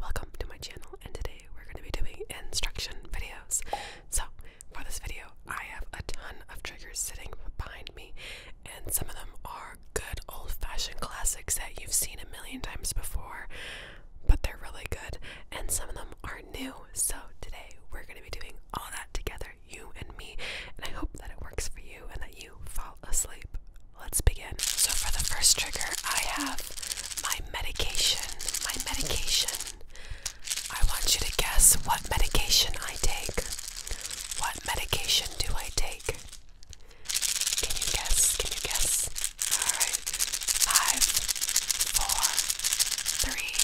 Welcome to my channel and today we're going to be doing instruction videos. So for this video I have a ton of triggers sitting behind me and some of them are good old-fashioned classics that you've seen a million times before but they're really good and some of them are new so today we're going to be doing all that together you and me and I hope that it works for you and that you fall asleep let's begin. So for the first trigger, I have my medication. My medication. I want you to guess what medication I take. What medication do I take? Can you guess? Can you guess? All right. Five, four, three,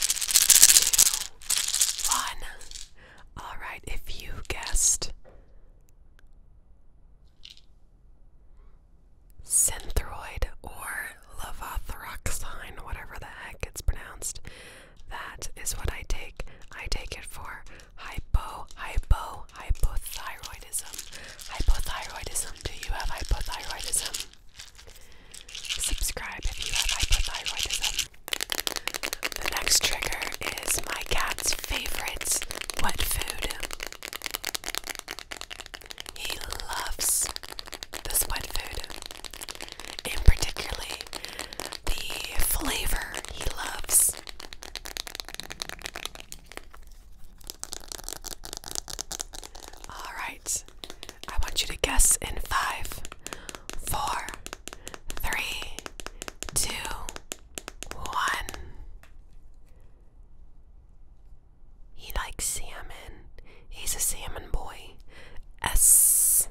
two, one. All right. If you guessed Synthroid or levothyroxine, whatever the heck it's pronounced. That is what I take. I take it for hypo, hypo, hypothyroidism. Hypothyroidism. Do you have hypothyroidism? Subscribe if you have hypothyroidism. The next trigger is my cat's favorites. wet food. He loves this wet food, and particularly the flavor he loves. All right, I want you to guess in five, four, three, two, one. He likes salmon. He's a salmon boy. S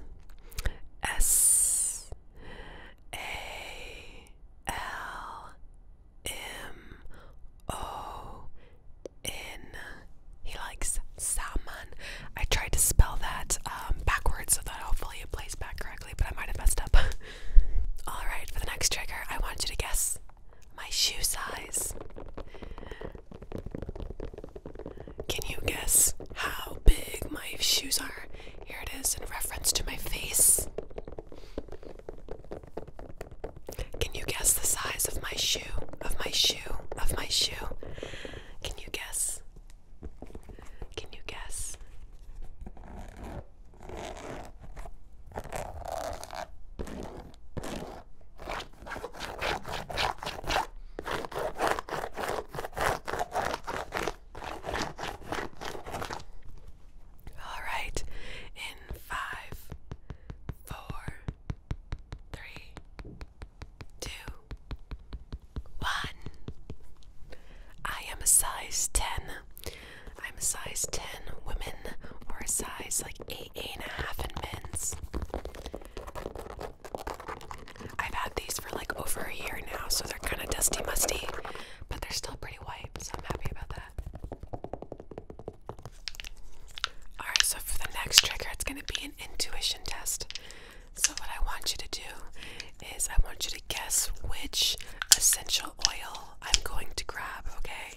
S A L M O N. He likes salmon. I tried to spell that um, backwards so that hopefully it plays back correctly, but I might have messed up. Alright, for the next trigger, I want you to guess my shoe size. Can you guess how big my shoes are? Here it is in reference to my face. Can you guess the size of my shoe? Of my shoe? Of my shoe? Can you guess? Can you guess? All right, in five, four, three, two, one. I am a size 10 I'm a size 10 women or a size like 8, 8 and a half in men's. I've had these for like over a year now, so they're kind of dusty musty, but they're still pretty white, so I'm happy about that. Alright, so for the next trigger, it's going to be an intuition test. So, what I want you to do is I want you to guess which essential oil I'm going to grab, okay?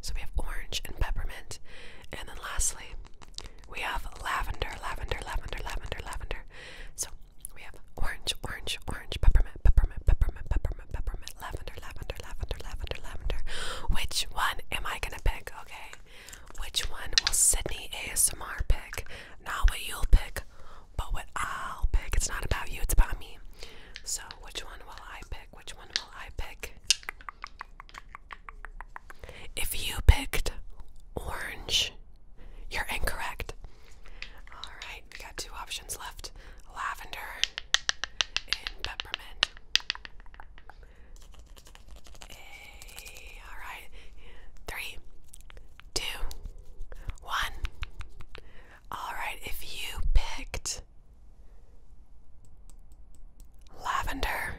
So we have orange and peppermint. And then lastly, we have lavender, lavender, lavender, lavender, lavender. So we have orange, orange, orange, peppermint, peppermint, peppermint, peppermint, peppermint, lavender, lavender, lavender, lavender, lavender. Which one am I gonna pick? Okay. Which one will Sydney ASMR pick? Not what you'll pick, but what I'll pick. It's not about you, it's about me. So which one will I pick? Which one will I pick? If you picked orange, you're incorrect. Alright, we got two options left lavender and peppermint. Alright, three, two, one. Alright, if you picked Lavender.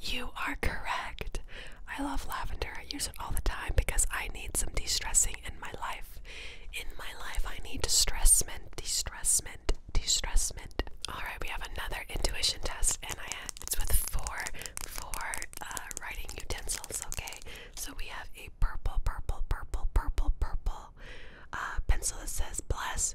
You are correct. I love lavender. I use it all the time because I need some de stressing in my life. In my life, I need distressment, distressment, distressment. Alright, we have another intuition test, and I have, it's with four, four uh, writing utensils, okay? So we have a purple, purple, purple, purple, purple uh, pencil that says bless,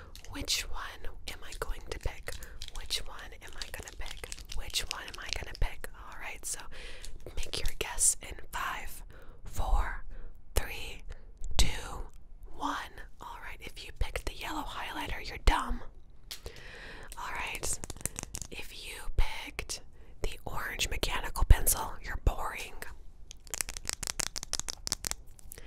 which one am I going to pick? Which one am I going to pick? Which one am I going to pick? All right, so make your guess in five, four, three, two, one. All right, if you picked the yellow highlighter, you're dumb. All right, if you picked the orange mechanical pencil, you're boring.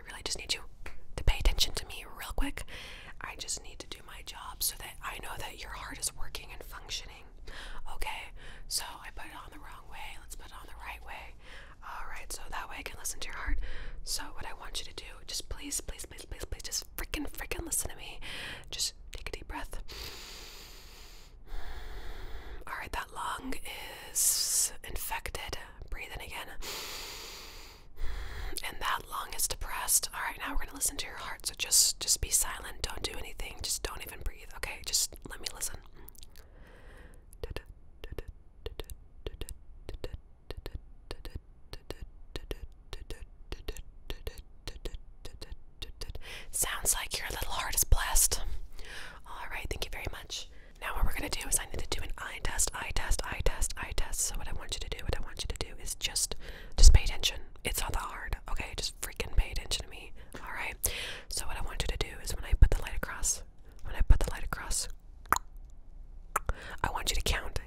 I really just need you to pay attention to me real quick. I just need to do my job so that I know that your heart is working and functioning. Okay, so I put it on the wrong way. Let's put it on the right way. Alright, so that way I can listen to your heart. So, what I want you to do, just please, please, please, please, please, just freaking, freaking listen to me. Just take a deep breath. Alright, that lung is infected. Breathe in again. And that lung is depressed. All right, now we're gonna listen to your heart. So just just be silent. Don't do anything. Just don't even breathe. Okay, just let me listen. Sounds like your little heart is blessed. All right, thank you very much. Now what we're gonna do is I need to do an eye test, eye test, eye test, eye test. So what I want you to do, what I want you to do is just just pay attention. It's not that hard, okay? Just freaking pay attention to me. Alright. So what I want you to do is when I put the light across, when I put the light across, I want you to count.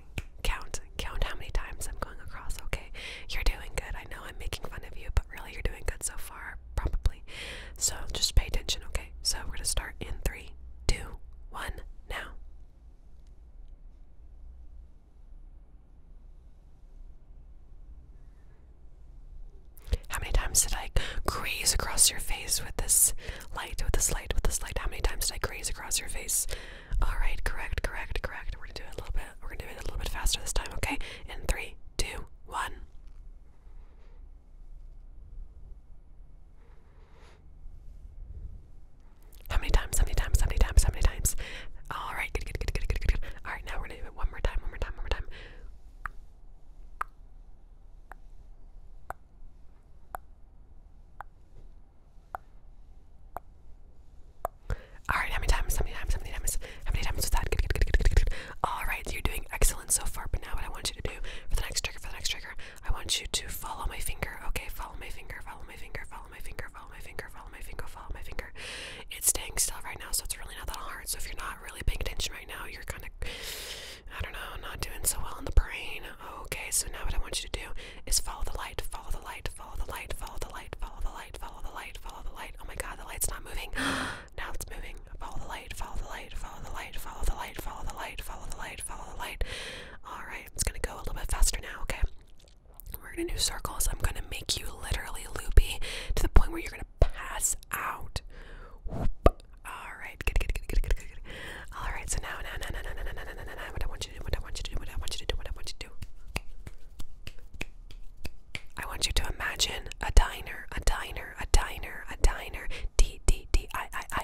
Count. Count how many times I'm going across, okay? You're doing good. I know I'm making fun of you, but really you're doing good so far. Probably actually. So just pay attention, okay? So we're gonna start in three, two, one, now. How many times did I graze across your face with this light, with this light, with this light? How many times did I graze across your face? Alright, correct, correct, correct. We're gonna do it a little bit. We're gonna do it a little bit faster this time, okay? In three, two, one. How many times? How many times? How many times? How many times? All right, good, good, good, good, good, good, good. All right, now we're gonna do it one more time, one more time, one more time. All right, how many times? How many times? How many times? How many times was that? Good, good, good, good, good, good. All right, so you're doing excellent so far. But now, what I want you to do for the next trigger, for the next trigger, I want you to follow my finger. Okay, follow my finger, follow my finger, follow my finger, follow my finger, follow my finger, follow my finger. It's staying still right now, so it's really not that hard. So if you're not really paying attention right now, you're kind of, I don't know, not doing so well in the brain. Okay, so now what I want you to do is follow the light, follow the light, follow the light, follow the light, follow the light, follow the light, follow the light. Oh my god, the light's not moving. now it's moving everything. Follow the light, follow the light, follow the light, follow the light, follow the light, follow the light, follow the light. Alright, it's gonna go a little bit faster now, okay? We're gonna do circles. I'm gonna make you literally loopy to the point where you're gonna pass out. Alright, good, good, good, good, good, good, good. Alright, so now, now, now, now, now, now, now, now, now, now, what I want you to do, what I want you to do, what I want you to do, what I want you to do. I want you to imagine a diner, a diner, a diner, a diner, D, D, D, I, I, I,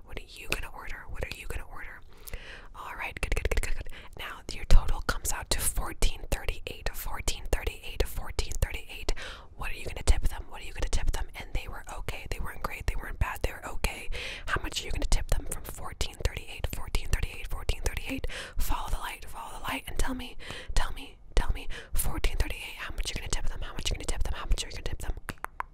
What are you gonna order? What are you gonna order? All right, good, good, good, good, Now your total comes out to Fourteen thirty eight. What are you gonna tip them? What are you gonna tip them? And they were okay. They weren't great. They weren't bad. They were okay. How much are you gonna tip them from fourteen thirty eight. Fourteen thirty eight. Fourteen thirty eight. Follow the light. Follow the light and tell me. Tell me. Tell me. Fourteen thirty-eight. How much are you gonna tip them? How much are you gonna tip them? How much are you gonna tip them?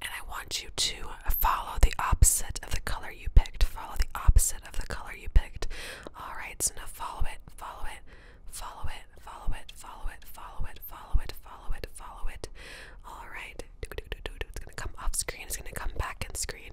and I want you to follow the opposite of the color you picked. Follow the opposite of the color you picked. Alright, so now follow it, follow it, follow it, follow it, follow it, follow it, follow it, follow it, follow it. Alright. It's gonna come off screen, it's gonna come back in screen.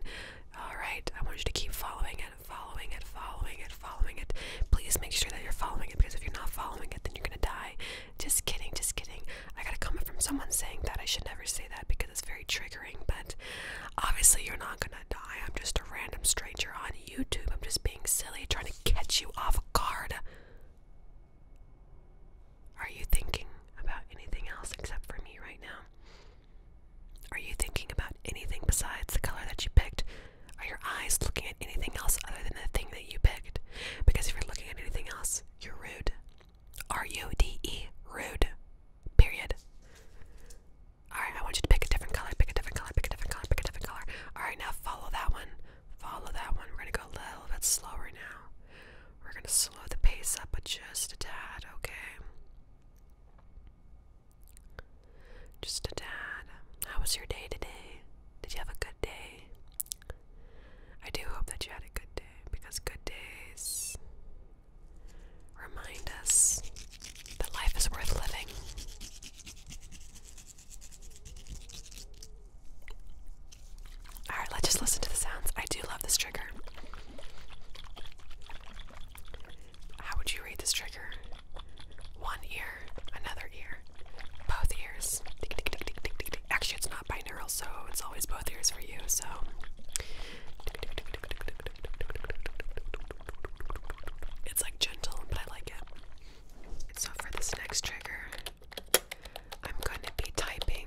Alright, I want you to keep following it, following it, following it, following it. Please make sure that you're following it because if you're not following it, then you're gonna die. Just kidding, just kidding. I got a comment from someone saying that I should never say that because it's very triggering, but obviously you're not gonna die. I'm just a random stranger on YouTube. I'm just being silly, trying to catch you off guard. Are you thinking about anything else except for me right now? Are you thinking about anything besides the color that you picked? Are your eyes looking at anything else other than the thing that you picked? Because if you're looking at anything else, you're rude. R U D E, rude. Period. Alright, I want you to pick a different color, pick a different color, pick a different color, pick a different color. Alright, now follow that one. Follow that one. We're gonna go a little bit slower now. We're gonna slow the pace up, but just a tad, okay? Just a tad. How was your day today? Did you have a good day? I do hope that you had a good day because good days remind us that life is worth living. Alright, let's just listen to the sounds. I do love this trigger. How would you rate this trigger? One ear, another ear both ears. Actually, it's not binaural, so it's always both ears for you. So. It's like gentle, but I like it. So, for this next trigger, I'm going to be typing.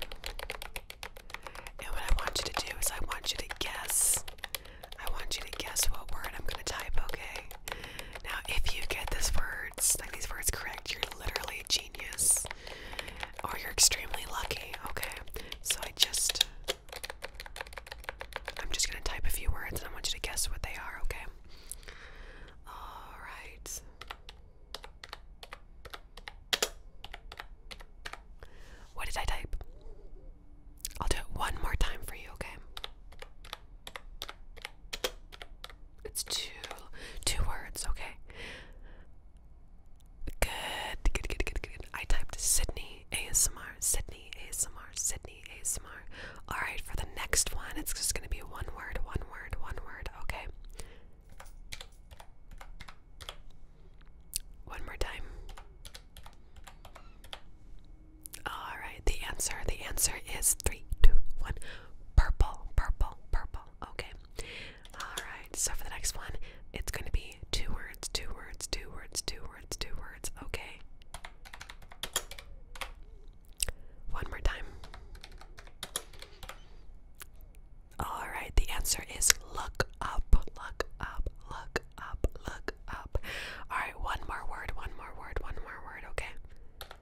And what I want you to do is, I want you to guess. I want you to guess what word I'm going to type, okay? Now, if you get these words, like these words correct, you're literally a genius. Or oh, you're extremely lucky. Okay. So I just I'm just gonna type a few words and I want you to guess what they are, okay? Alright. What did I type? I'll do it one more time for you, okay? It's two two words, okay. Good, good, good, good, good. I typed Sydney ASMR, Sydney ASMR, Sydney ASMR. Alright, for the next one, it's just gonna be one word, one word, one word, okay. One more time. Alright, the answer, the answer is three, two, one. Purple, purple, purple. Okay. Alright, so for the next one, it's going to be two words, two words, two words, two words, two words. Okay. One more time. Alright, the answer is look up, look up, look up, look up. Alright, one more word, one more word, one more word, okay?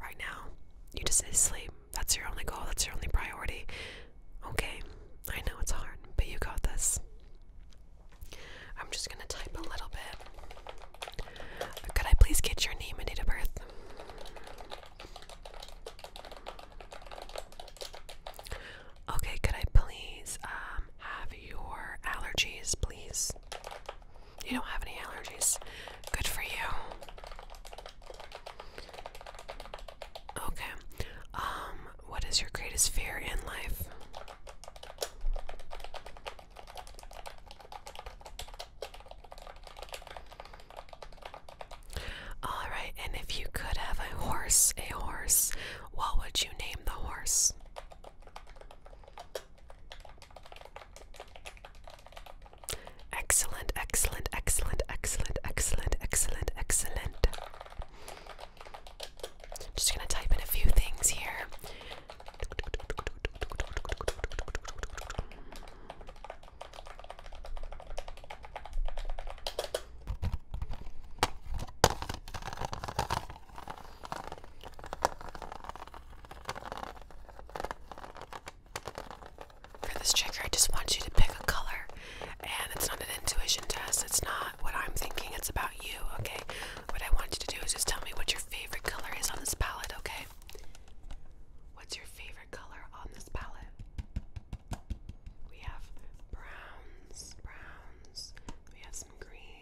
Right now, you just need to sleep. That's your only goal, that's your only priority. Okay, I know it's hard, but you got this. I'm just gonna type a little bit. Could I please get your name and date of birth? Okay, could I please um, have your allergies, please? You don't have any allergies. Good for you. Okay. Um, what is your greatest fear in life? All right, and if you could have a horse, a horse, what would you name the horse? Excellent, excellent, excellent, excellent, excellent, excellent, excellent. Just gonna type in a few things here. For this trigger, I just want you to pick a color, and it's not an intuition test. It's not what I'm thinking. It's about you, okay? What I want you to do is just tell me what your favorite color is on this palette, okay? What's your favorite color on this palette? We have browns, browns. We have some greens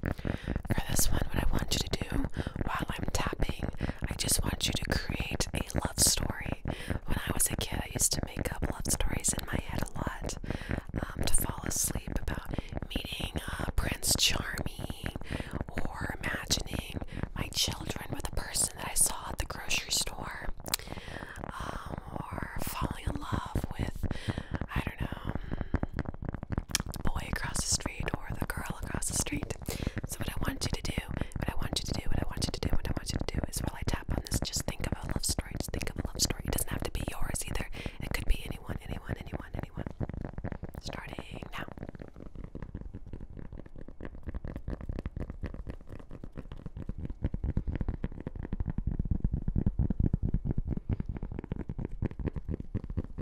For this one, what I want you to do while I'm tapping, I just want you to create a love story. When I was a kid, I used to make up love stories in my head a lot um, to fall asleep about meeting uh, Prince Charming or imagining my children with a person that I saw at the grocery store um, or falling in love with, I don't know, the boy across the street or the girl across the street. So what I want you to do, what I want you to do, what I want you to do, what I want you to do is while I tap on this, just think of a love story. Just think of a love story. It doesn't have to be yours either. It could be anyone, anyone, anyone, anyone. Starting now.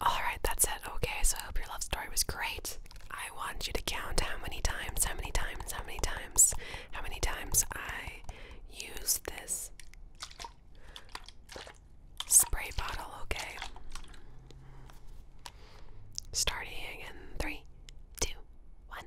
Alright, that's it. Okay, so I hope your love story was great. I want you to count how many times, how many times, how many times, how many times I use this spray bottle, okay? Starting in three, two, one.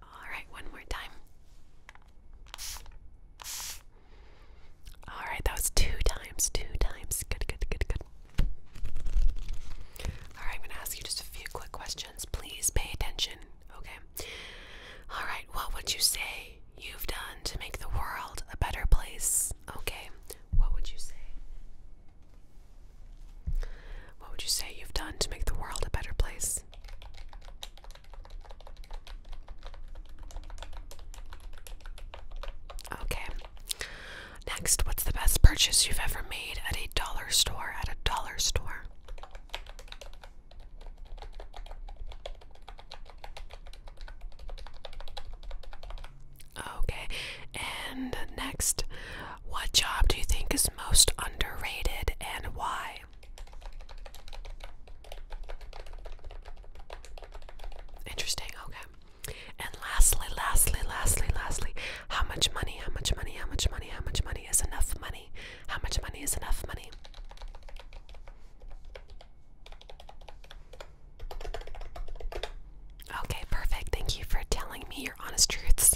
All right, one more time. All right, that was two times, two times. Good, good, good, good. All right, I'm going to ask you just a few quick questions. Please pay attention, okay? All right, what would you say you've done to make the world a better place? Okay, what would you say? What would you say you've done to make the world a better place? Okay. Next, what's the best purchase you've ever made at a dollar store? At a dollar store. Okay. And next, what job do you think is most underrated and why? Interesting, okay. And lastly, lastly, lastly, lastly, how much money, how much money, how much money, how much money is enough money? How much money is enough money? Okay, perfect. Thank you for telling me your honest truths.